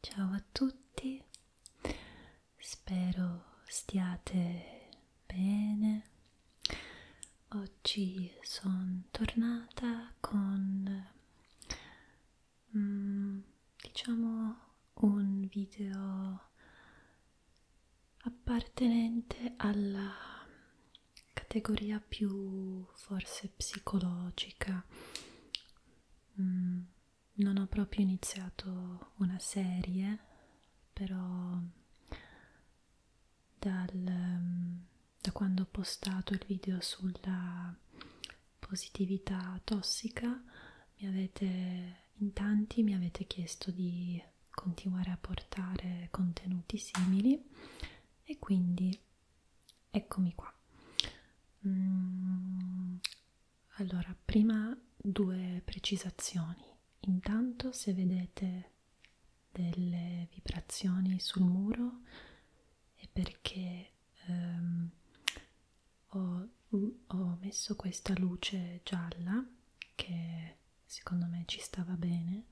Ciao a tutti, spero stiate bene. Oggi sono tornata con mm, diciamo un video appartenente alla categoria più forse psicologica mm, non ho proprio iniziato una serie, però dal, mm, da quando ho postato il video sulla positività tossica mi avete in tanti mi avete chiesto di continuare a portare contenuti simili e quindi eccomi qua mm, allora prima due precisazioni intanto se vedete delle vibrazioni sul muro è perché ehm, ho, mm, ho messo questa luce gialla che secondo me ci stava bene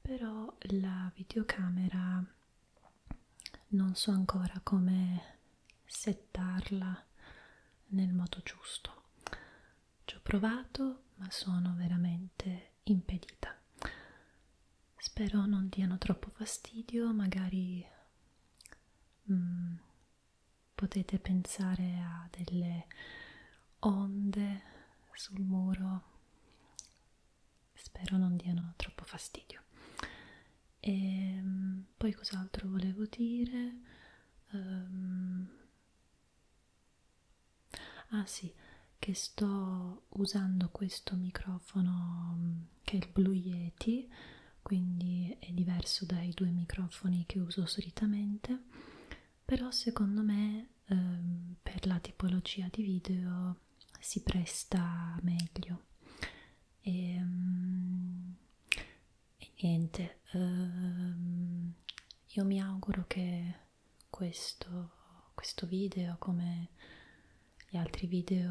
però la videocamera non so ancora come settarla nel modo giusto ci ho provato ma sono veramente impedita spero non diano troppo fastidio magari mm, potete pensare a delle onde sul muro spero non diano troppo fastidio e ehm, poi cos'altro volevo dire um, ah sì che sto usando questo microfono mm, che è il Blue Yeti quindi è diverso dai due microfoni che uso solitamente però secondo me ehm, per la tipologia di video si presta meglio e, um, e niente um, io mi auguro che questo, questo video come gli altri video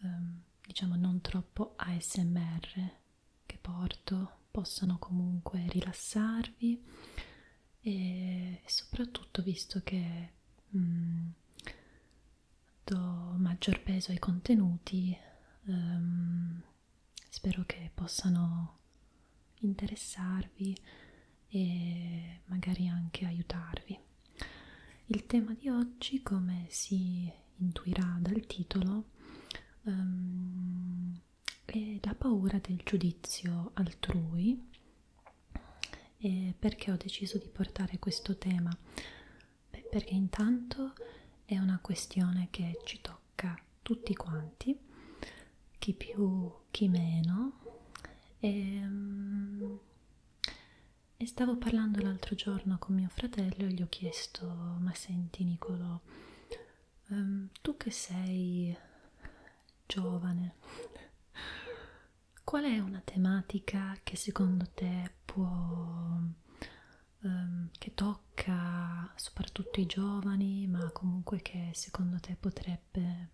um, diciamo non troppo ASMR che porto possano comunque rilassarvi e soprattutto visto che mh, mm. do maggior peso ai contenuti, um, spero che possano interessarvi e magari anche aiutarvi. Il tema di oggi, come si intuirà dal titolo, um, è la paura del giudizio altrui e perché ho deciso di portare questo tema? Beh, perché intanto è una questione che ci tocca tutti quanti, chi più, chi meno. E, ehm, e stavo parlando l'altro giorno con mio fratello e gli ho chiesto, ma senti Nicolo, um, tu che sei giovane. Qual è una tematica che secondo te può, ehm, che tocca soprattutto i giovani, ma comunque che secondo te potrebbe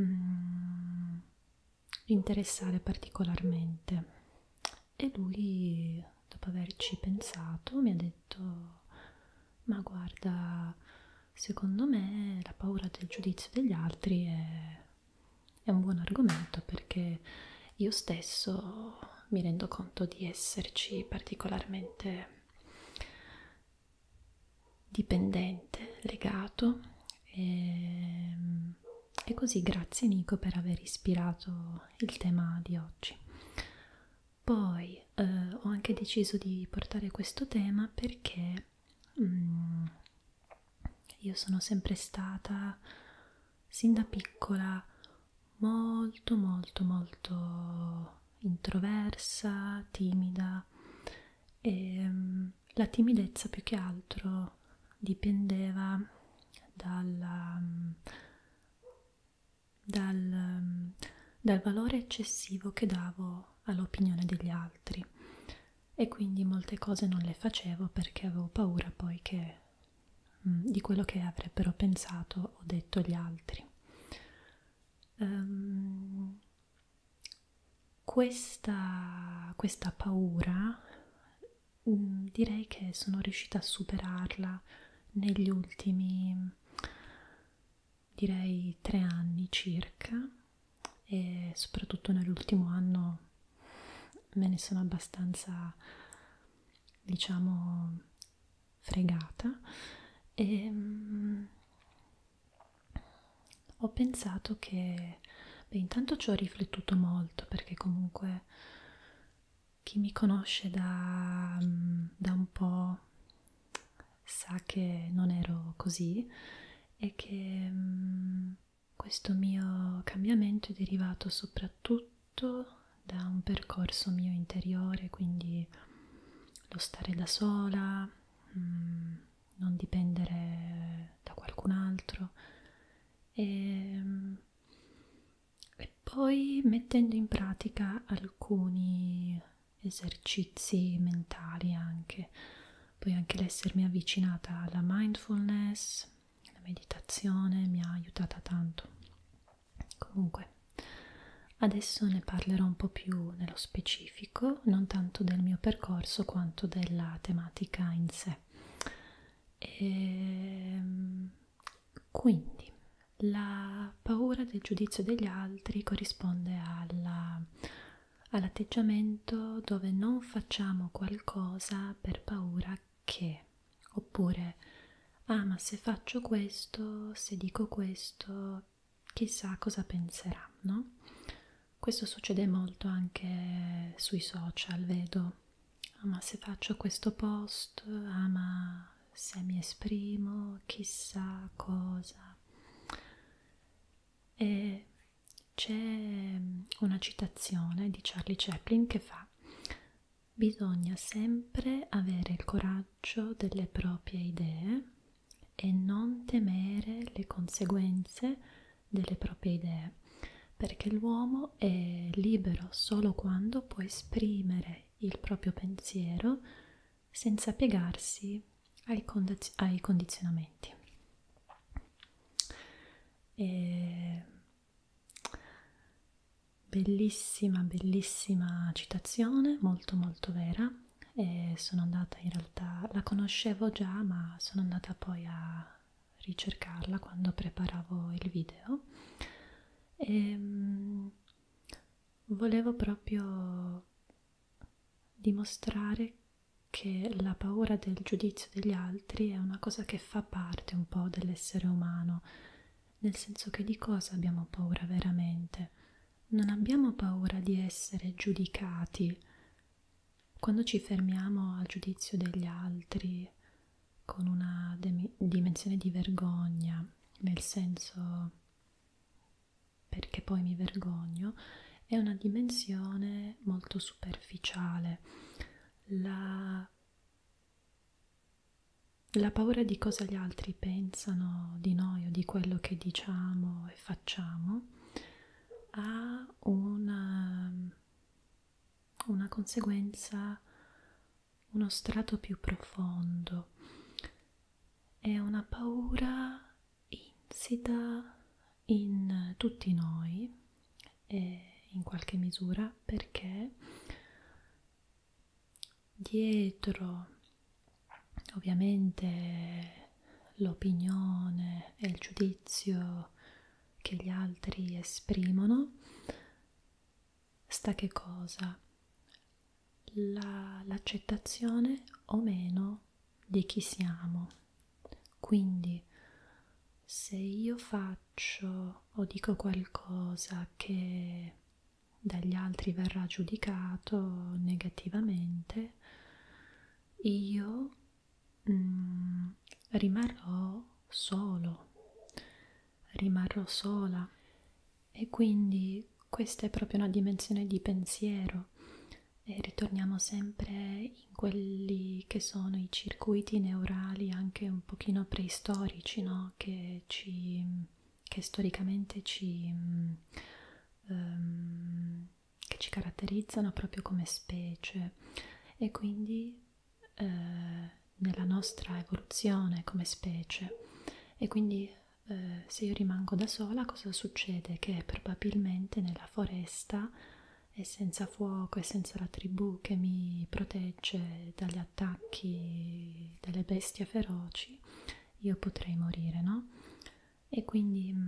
mm, interessare particolarmente? E lui, dopo averci pensato, mi ha detto, ma guarda, secondo me la paura del giudizio degli altri è, è un buon argomento perché io stesso mi rendo conto di esserci particolarmente dipendente, legato e, ehm, e così grazie Nico per aver ispirato il tema di oggi. Poi eh, ho anche deciso di portare questo tema perché Mm. Io sono sempre stata, sin da piccola, molto molto molto introversa, timida e ehm, la timidezza più che altro dipendeva dalla, dal, dal valore eccessivo che davo all'opinione degli altri e quindi molte cose non le facevo perché avevo paura poi che, mh, mm, di quello che avrebbero pensato o detto gli altri. Um, questa, questa paura mh, mm, direi che sono riuscita a superarla negli ultimi direi tre anni circa e soprattutto nell'ultimo anno me ne sono abbastanza diciamo fregata e um, ho pensato che beh, intanto ci ho riflettuto molto perché comunque chi mi conosce da, mm, da un po' sa che non ero così e che mh, mm, questo mio cambiamento è derivato soprattutto da un percorso mio interiore, quindi lo stare da sola, mh, mm, non dipendere da qualcun altro e, mm, e poi mettendo in pratica alcuni esercizi mentali anche, poi anche l'essermi avvicinata alla mindfulness, alla meditazione mi ha aiutata tanto. Comunque, adesso ne parlerò un po' più nello specifico, non tanto del mio percorso quanto della tematica in sé. E, ehm, quindi, la la paura del giudizio degli altri corrisponde all'atteggiamento all dove non facciamo qualcosa per paura che, oppure ah ma se faccio questo, se dico questo, chissà cosa penserà, no? Questo succede molto anche sui social, vedo, ah ma se faccio questo post, ah ma se mi esprimo, chissà cosa. E c'è mm, una citazione di Charlie Chaplin che fa Bisogna sempre avere il coraggio delle proprie idee e non temere le conseguenze delle proprie idee, perché l'uomo è libero solo quando può esprimere il proprio pensiero senza piegarsi ai, condiz ai condizionamenti. E... Bellissima, bellissima citazione, molto molto vera. E sono andata in realtà, la conoscevo già, ma sono andata poi a ricercarla quando preparavo il video. E ehm, volevo proprio dimostrare che la paura del giudizio degli altri è una cosa che fa parte un po' dell'essere umano, nel senso che di cosa abbiamo paura veramente? Non abbiamo paura di essere giudicati. Quando ci fermiamo al giudizio degli altri con una dimensione di vergogna, nel senso perché poi mi vergogno, è una dimensione molto superficiale. La, la paura di cosa gli altri pensano di noi o di quello che diciamo e facciamo ha una, una conseguenza, uno strato più profondo è una paura insita in tutti noi e in qualche misura perché dietro ovviamente l'opinione e il giudizio che gli altri esprimono sta che cosa? l'accettazione la, o meno di chi siamo. Quindi se io faccio o dico qualcosa che dagli altri verrà giudicato negativamente, io mm, rimarrò solo, rimarrò sola e quindi questa è proprio una dimensione di pensiero e ritorniamo sempre in quelli che sono i circuiti neurali anche un pochino preistorici, no? che, ci, che storicamente ci, um, che ci caratterizzano proprio come specie e quindi eh, nella nostra evoluzione come specie e quindi eh, se io rimango da sola cosa succede? Che probabilmente nella foresta e senza fuoco e senza la tribù che mi protegge dagli attacchi delle bestie feroci io potrei morire, no? E quindi mh,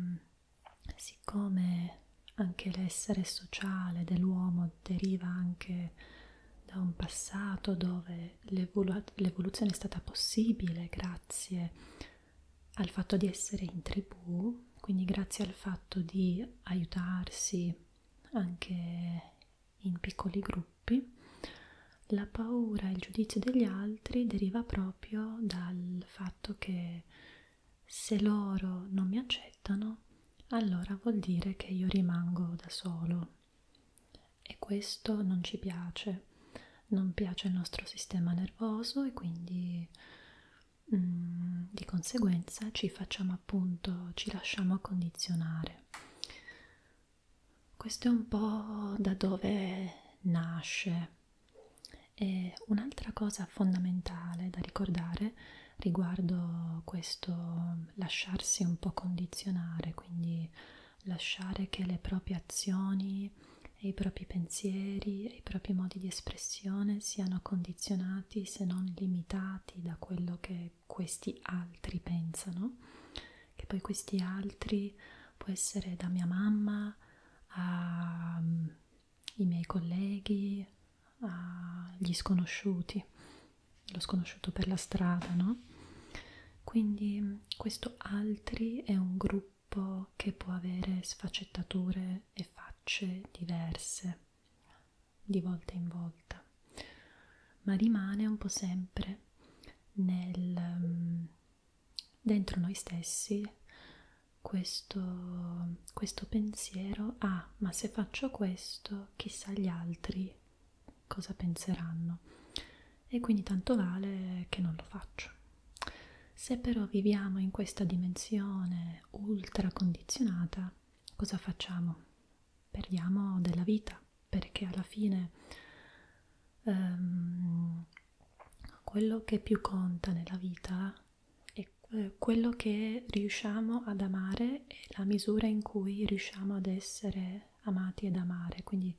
mm, siccome anche l'essere sociale dell'uomo deriva anche da un passato dove l'evoluzione è stata possibile grazie al fatto di essere in tribù, quindi grazie al fatto di aiutarsi anche in piccoli gruppi, la paura e il giudizio degli altri deriva proprio dal fatto che se loro non mi accettano, allora vuol dire che io rimango da solo e questo non ci piace, non piace il nostro sistema nervoso e quindi mh, mm, di conseguenza ci facciamo appunto, ci lasciamo condizionare. Questo è un po' da dove nasce. E un'altra cosa fondamentale da ricordare riguardo questo lasciarsi un po' condizionare, quindi lasciare che le proprie azioni e i propri pensieri e i propri modi di espressione siano condizionati se non limitati da quello che questi altri pensano, che poi questi altri può essere da mia mamma ai mm, miei colleghi, agli sconosciuti, lo sconosciuto per la strada, no? quindi questo altri è un gruppo che può avere sfaccettature e facce diverse di volta in volta ma rimane un po' sempre nel, mm, dentro noi stessi questo, questo pensiero ah ma se faccio questo chissà gli altri cosa penseranno e quindi tanto vale che non lo faccio. Se però viviamo in questa dimensione ultra condizionata, cosa facciamo? Perdiamo della vita perché alla fine um, quello che più conta nella vita è eh, quello che riusciamo ad amare e la misura in cui riusciamo ad essere essere amati ed amare, quindi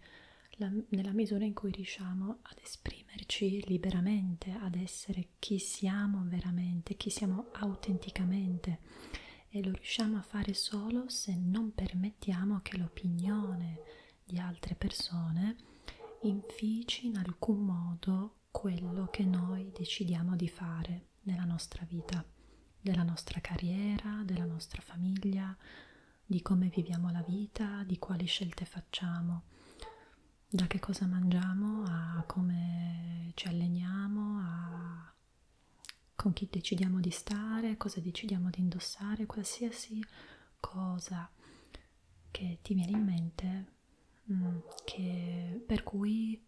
la, nella misura in cui riusciamo ad esprimerci liberamente, ad essere chi siamo veramente, chi siamo autenticamente e lo riusciamo a fare solo se non permettiamo che l'opinione di altre persone infici in alcun modo quello che noi decidiamo di fare nella nostra vita, della nostra carriera, della nostra famiglia, di come viviamo la vita, di quali scelte facciamo, da che cosa mangiamo a come ci alleniamo, a con chi decidiamo di stare, cosa decidiamo di indossare, qualsiasi cosa che ti viene in mente, mm, che, per cui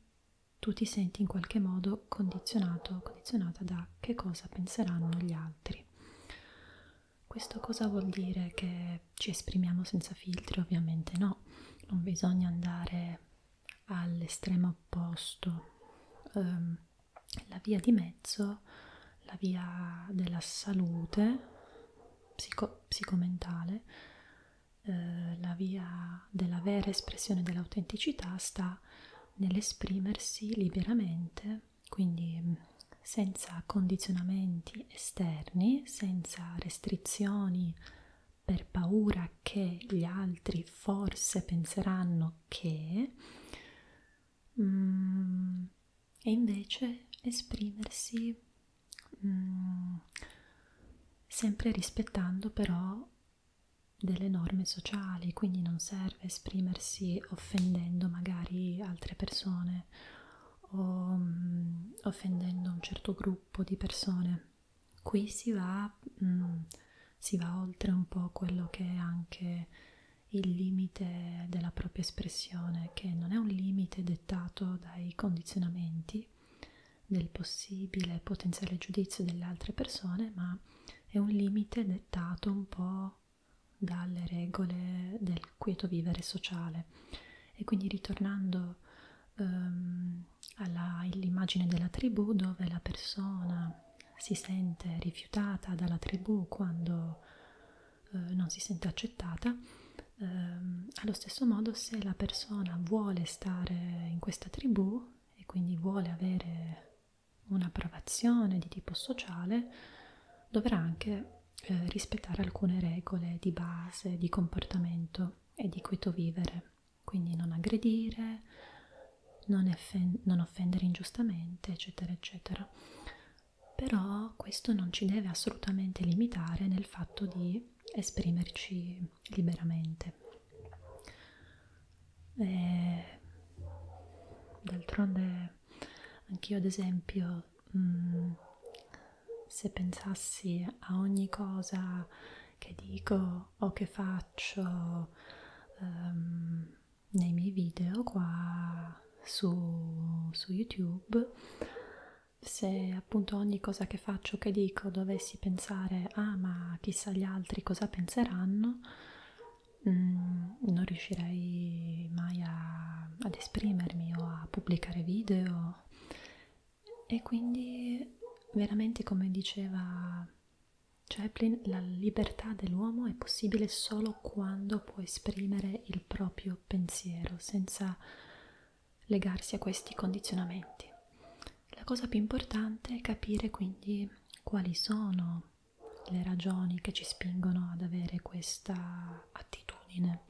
tu ti senti in qualche modo condizionato, condizionata da che cosa penseranno gli altri. Questo cosa vuol dire? Che ci esprimiamo senza filtri? Ovviamente no, non bisogna andare all'estremo opposto. Um, la via di mezzo, la via della salute psico psicomentale, eh, la via della vera espressione dell'autenticità sta nell'esprimersi liberamente, quindi mm, senza condizionamenti esterni, senza restrizioni per paura che gli altri forse penseranno che, mm, e invece esprimersi mm, sempre rispettando però delle norme sociali, quindi non serve esprimersi offendendo magari altre persone o mh, mm, offendendo un certo gruppo di persone. Qui si va, mh, mm, si va oltre un po' quello che è anche il limite della propria espressione, che non è un limite dettato dai condizionamenti del possibile potenziale giudizio delle altre persone, ma è un limite dettato un po' dalle regole del quieto vivere sociale e quindi ritornando um, all'immagine della tribù dove la persona si sente rifiutata dalla tribù quando uh, non si sente accettata, um, allo stesso modo se la persona vuole stare in questa tribù e quindi vuole avere un'approvazione di tipo sociale, dovrà anche eh, rispettare alcune regole di base, di comportamento e di quieto vivere, quindi non aggredire, non, effen- non offendere ingiustamente, eccetera, eccetera. Però questo non ci deve assolutamente limitare nel fatto di esprimerci liberamente e eh, d'altronde anch'io ad esempio mh, mm, se pensassi a ogni cosa che dico o che faccio um, nei miei video qua su, su youtube se appunto ogni cosa che faccio che dico dovessi pensare ah ma chissà gli altri cosa penseranno mh, mm, non riuscirei mai a, ad esprimermi o a pubblicare video e quindi veramente come diceva Chaplin la libertà dell'uomo è possibile solo quando può esprimere il proprio pensiero senza legarsi a questi condizionamenti la cosa più importante è capire quindi quali sono le ragioni che ci spingono ad avere questa attitudine,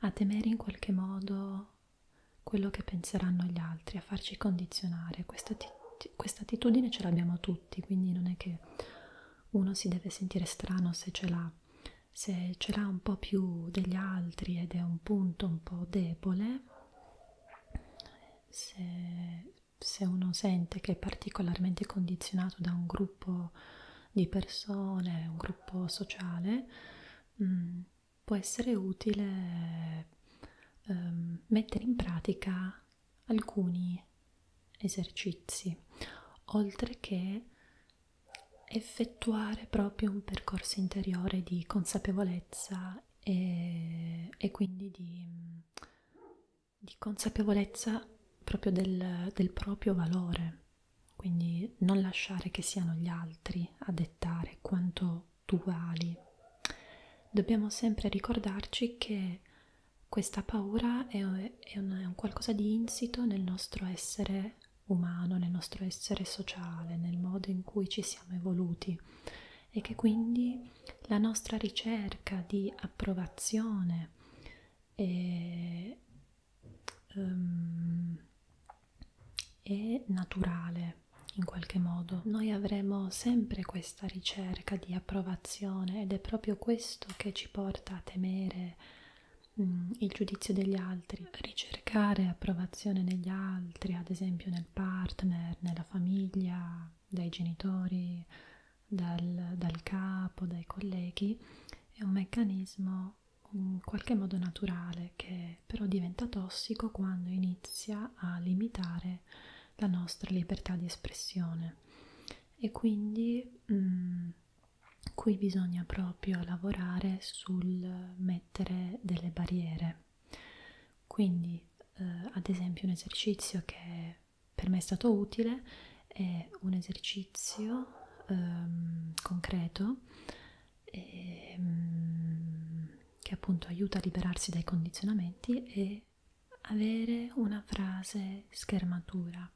a temere in qualche modo quello che penseranno gli altri, a farci condizionare. Questa quest attitudine ce l'abbiamo tutti, quindi non è che uno si deve sentire strano se ce l'ha. Se ce l'ha un po' più degli altri ed è un punto un po' debole, se se uno sente che è particolarmente condizionato da un gruppo di persone, un gruppo sociale, mh, mm, può essere utile um, mettere in pratica alcuni esercizi, oltre che effettuare proprio un percorso interiore di consapevolezza e, e quindi di di consapevolezza proprio del, del proprio valore, quindi non lasciare che siano gli altri a dettare quanto tu vali. Dobbiamo sempre ricordarci che questa paura è, è, un, è un qualcosa di insito nel nostro essere umano, nel nostro essere sociale, nel modo in cui ci siamo evoluti e che quindi la nostra ricerca di approvazione è, um, è naturale in qualche modo. Noi avremo sempre questa ricerca di approvazione ed è proprio questo che ci porta a temere um, il giudizio degli altri. Ricercare approvazione negli altri, ad esempio nel partner, nella famiglia, dai genitori, dal, dal capo, dai colleghi, è un meccanismo in qualche modo naturale che però diventa tossico quando inizia a limitare la nostra libertà di espressione e quindi mh, mm, qui bisogna proprio lavorare sul mettere delle barriere quindi, eh, ad esempio, un esercizio che per me è stato utile è un esercizio ehm, concreto ehm, che appunto aiuta a liberarsi dai condizionamenti e avere una frase schermatura.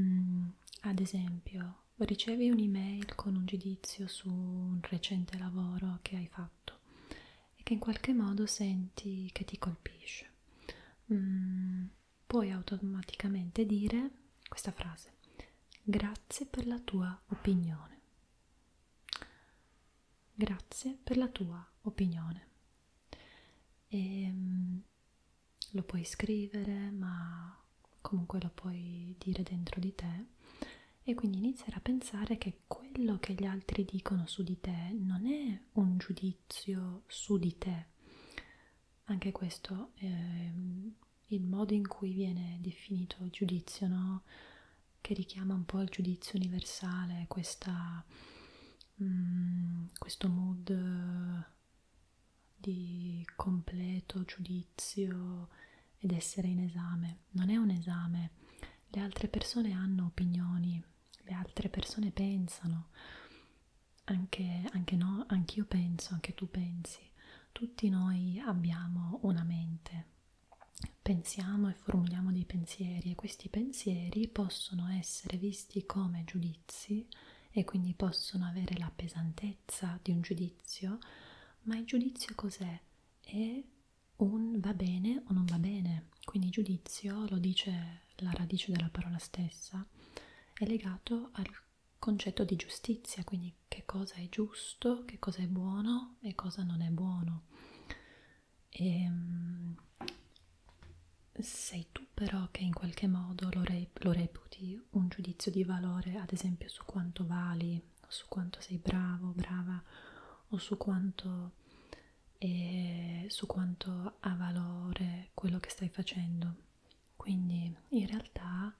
Mm, ad esempio, ricevi un'email con un giudizio su un recente lavoro che hai fatto fatto e che in qualche modo senti che ti colpisce. Mm, puoi automaticamente dire questa frase, grazie per la tua opinione. Grazie per la tua opinione. E, mm, lo puoi scrivere, ma comunque lo puoi dire dentro di te e quindi iniziare a pensare che quello che gli altri dicono su di te non è un giudizio su di te. Anche questo è ehm, il modo in cui viene definito il giudizio, no? che richiama un po' il giudizio universale, questa, mm, questo mood di completo giudizio ed essere in esame. Non è un esame, le altre persone hanno opinioni, le altre persone pensano, anche, anche no, anch'io penso, anche tu pensi, tutti noi abbiamo una mente, pensiamo e formuliamo dei pensieri e questi pensieri possono essere visti come giudizi e quindi possono avere la pesantezza di un giudizio, ma il giudizio cos'è? È un va bene o non va bene, quindi giudizio, lo dice la radice della parola stessa, è legato al concetto di giustizia, quindi che cosa è giusto, che cosa è buono e cosa non è buono. E, ehm, sei tu però che in qualche modo lo, re, lo reputi un giudizio di valore, ad esempio su quanto vali, o su quanto sei bravo, brava o su quanto, eh, su quanto ha valore quello che stai facendo. Quindi in realtà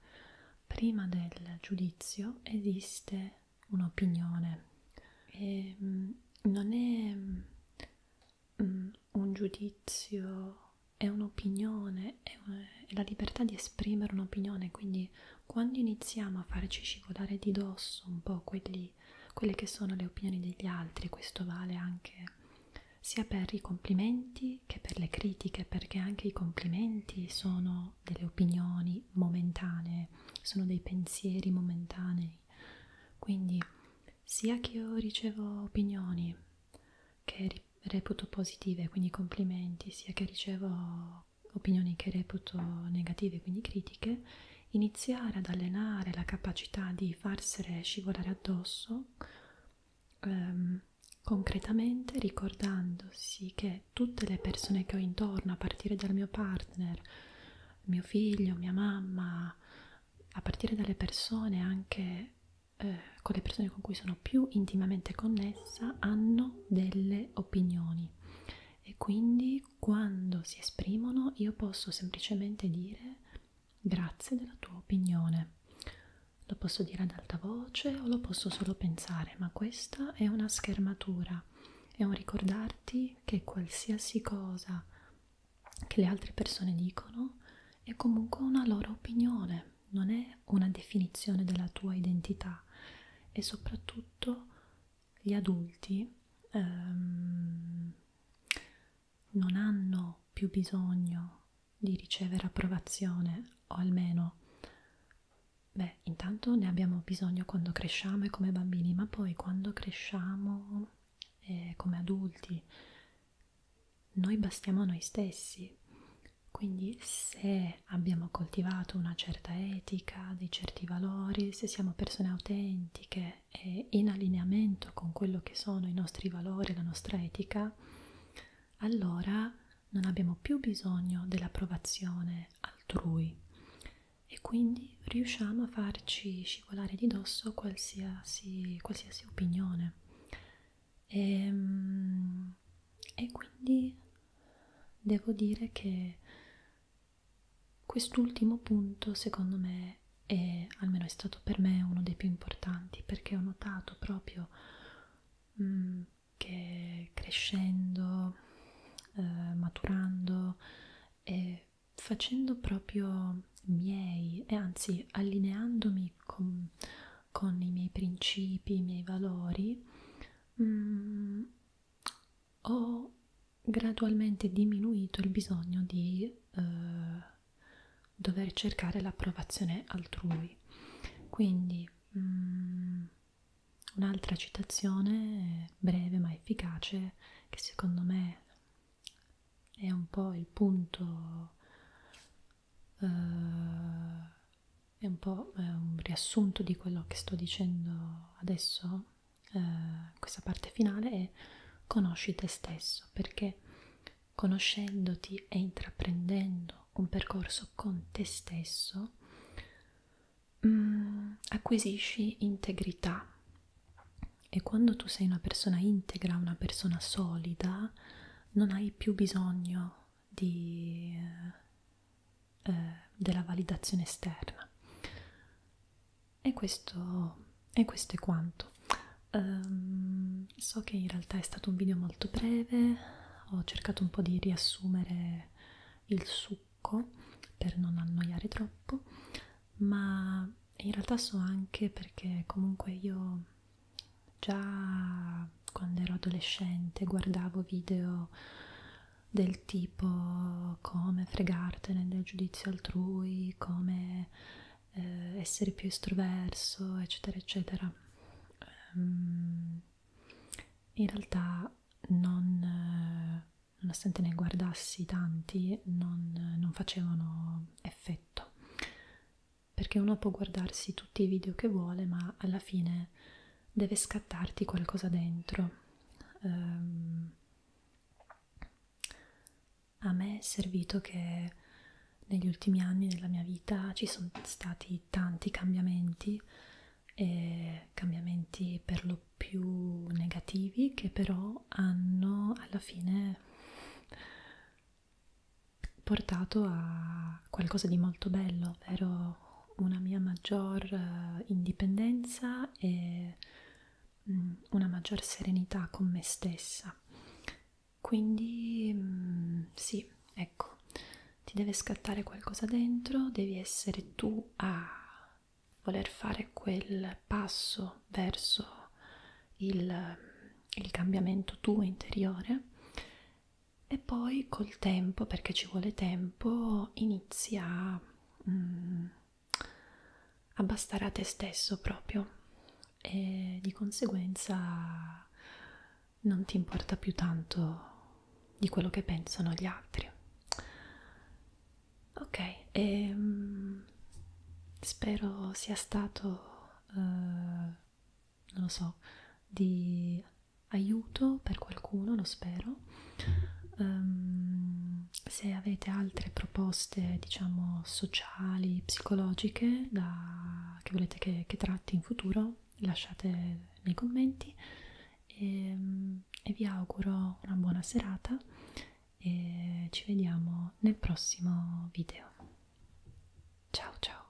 prima del giudizio esiste un'opinione e mm, non è mm, mm, un giudizio, è un'opinione, è, un, è la libertà di esprimere un'opinione, quindi quando iniziamo a farci scivolare di dosso un po' quelli, quelle che sono le opinioni degli altri, questo vale anche sia per i complimenti che per le critiche, perché anche i complimenti sono delle opinioni momentanee, sono dei pensieri momentanei. Quindi sia che io ricevo opinioni che reputo positive, quindi complimenti, sia che ricevo opinioni che reputo negative, quindi critiche, iniziare ad allenare la capacità di farsene scivolare addosso ehm, concretamente ricordandosi che tutte le persone che ho intorno, a partire dal mio partner, mio figlio, mia mamma, a partire dalle persone anche eh, con le persone con cui sono più intimamente connessa, hanno delle opinioni e quindi quando si esprimono io posso semplicemente dire grazie della tua opinione. Lo posso dire ad alta voce o lo posso solo pensare, ma questa è una schermatura, è un ricordarti che qualsiasi cosa che le altre persone dicono è comunque una loro opinione, non è una definizione della tua identità e soprattutto gli adulti ehm, non hanno più bisogno di ricevere approvazione o almeno beh intanto ne abbiamo bisogno quando cresciamo e come bambini ma poi quando cresciamo e eh, come adulti noi bastiamo a noi stessi quindi se se abbiamo coltivato una certa etica, dei certi valori, se siamo persone autentiche e in allineamento con quello che sono i nostri valori, la nostra etica, allora non abbiamo più bisogno dell'approvazione altrui e quindi riusciamo a farci scivolare di dosso qualsiasi, qualsiasi opinione. E, ehm, e quindi devo dire che quest'ultimo punto secondo me è almeno è stato per me uno dei più importanti perché ho notato proprio mh, mm, che crescendo eh, maturando e facendo proprio miei e anzi allineandomi con, con i miei principi i miei valori mh, mm, ho gradualmente diminuito il bisogno di eh, dover cercare l'approvazione altrui. Quindi mm, un'altra citazione breve ma efficace che secondo me è un po' il punto eh, è un po' un riassunto di quello che sto dicendo adesso, eh, questa parte finale è conosci te stesso, perché conoscendoti e intraprendendo un percorso con te stesso mh, mm, acquisisci integrità e quando tu sei una persona integra, una persona solida, non hai più bisogno di, eh, della validazione esterna. E questo, e questo è quanto. Um, so che in realtà è stato un video molto breve, ho cercato un po' di riassumere il succo per non annoiare troppo, ma in realtà so anche perché comunque io già quando ero adolescente guardavo video del tipo come fregartene del giudizio altrui, come eh, essere più estroverso, eccetera, eccetera. Um, in realtà non, nonostante ne guardassi tanti, non, non facevano effetto perché uno può guardarsi tutti i video che vuole ma alla fine deve scattarti qualcosa dentro. Um, a me è servito che negli ultimi anni della mia vita ci sono stati tanti cambiamenti, e cambiamenti per lo più negativi, che però hanno alla fine portato a a qualcosa di molto bello, ovvero una mia maggior uh, indipendenza e mh, mm, una maggior serenità con me stessa. Quindi mh, mm, sì, ecco, ti deve scattare qualcosa dentro, devi essere tu a voler fare quel passo verso il, il cambiamento tuo interiore e poi col tempo, perché ci vuole tempo, inizi a, mm, a bastare a te stesso proprio e di conseguenza non ti importa più tanto di quello che pensano gli altri. Ok, e, um, spero sia stato, uh, non lo so, di aiuto per qualcuno, lo spero. Um, se avete altre proposte, diciamo, sociali, psicologiche da, che volete che, che tratti in futuro, lasciate nei commenti e, ehm, e vi auguro una buona serata e ci vediamo nel prossimo video. Ciao ciao!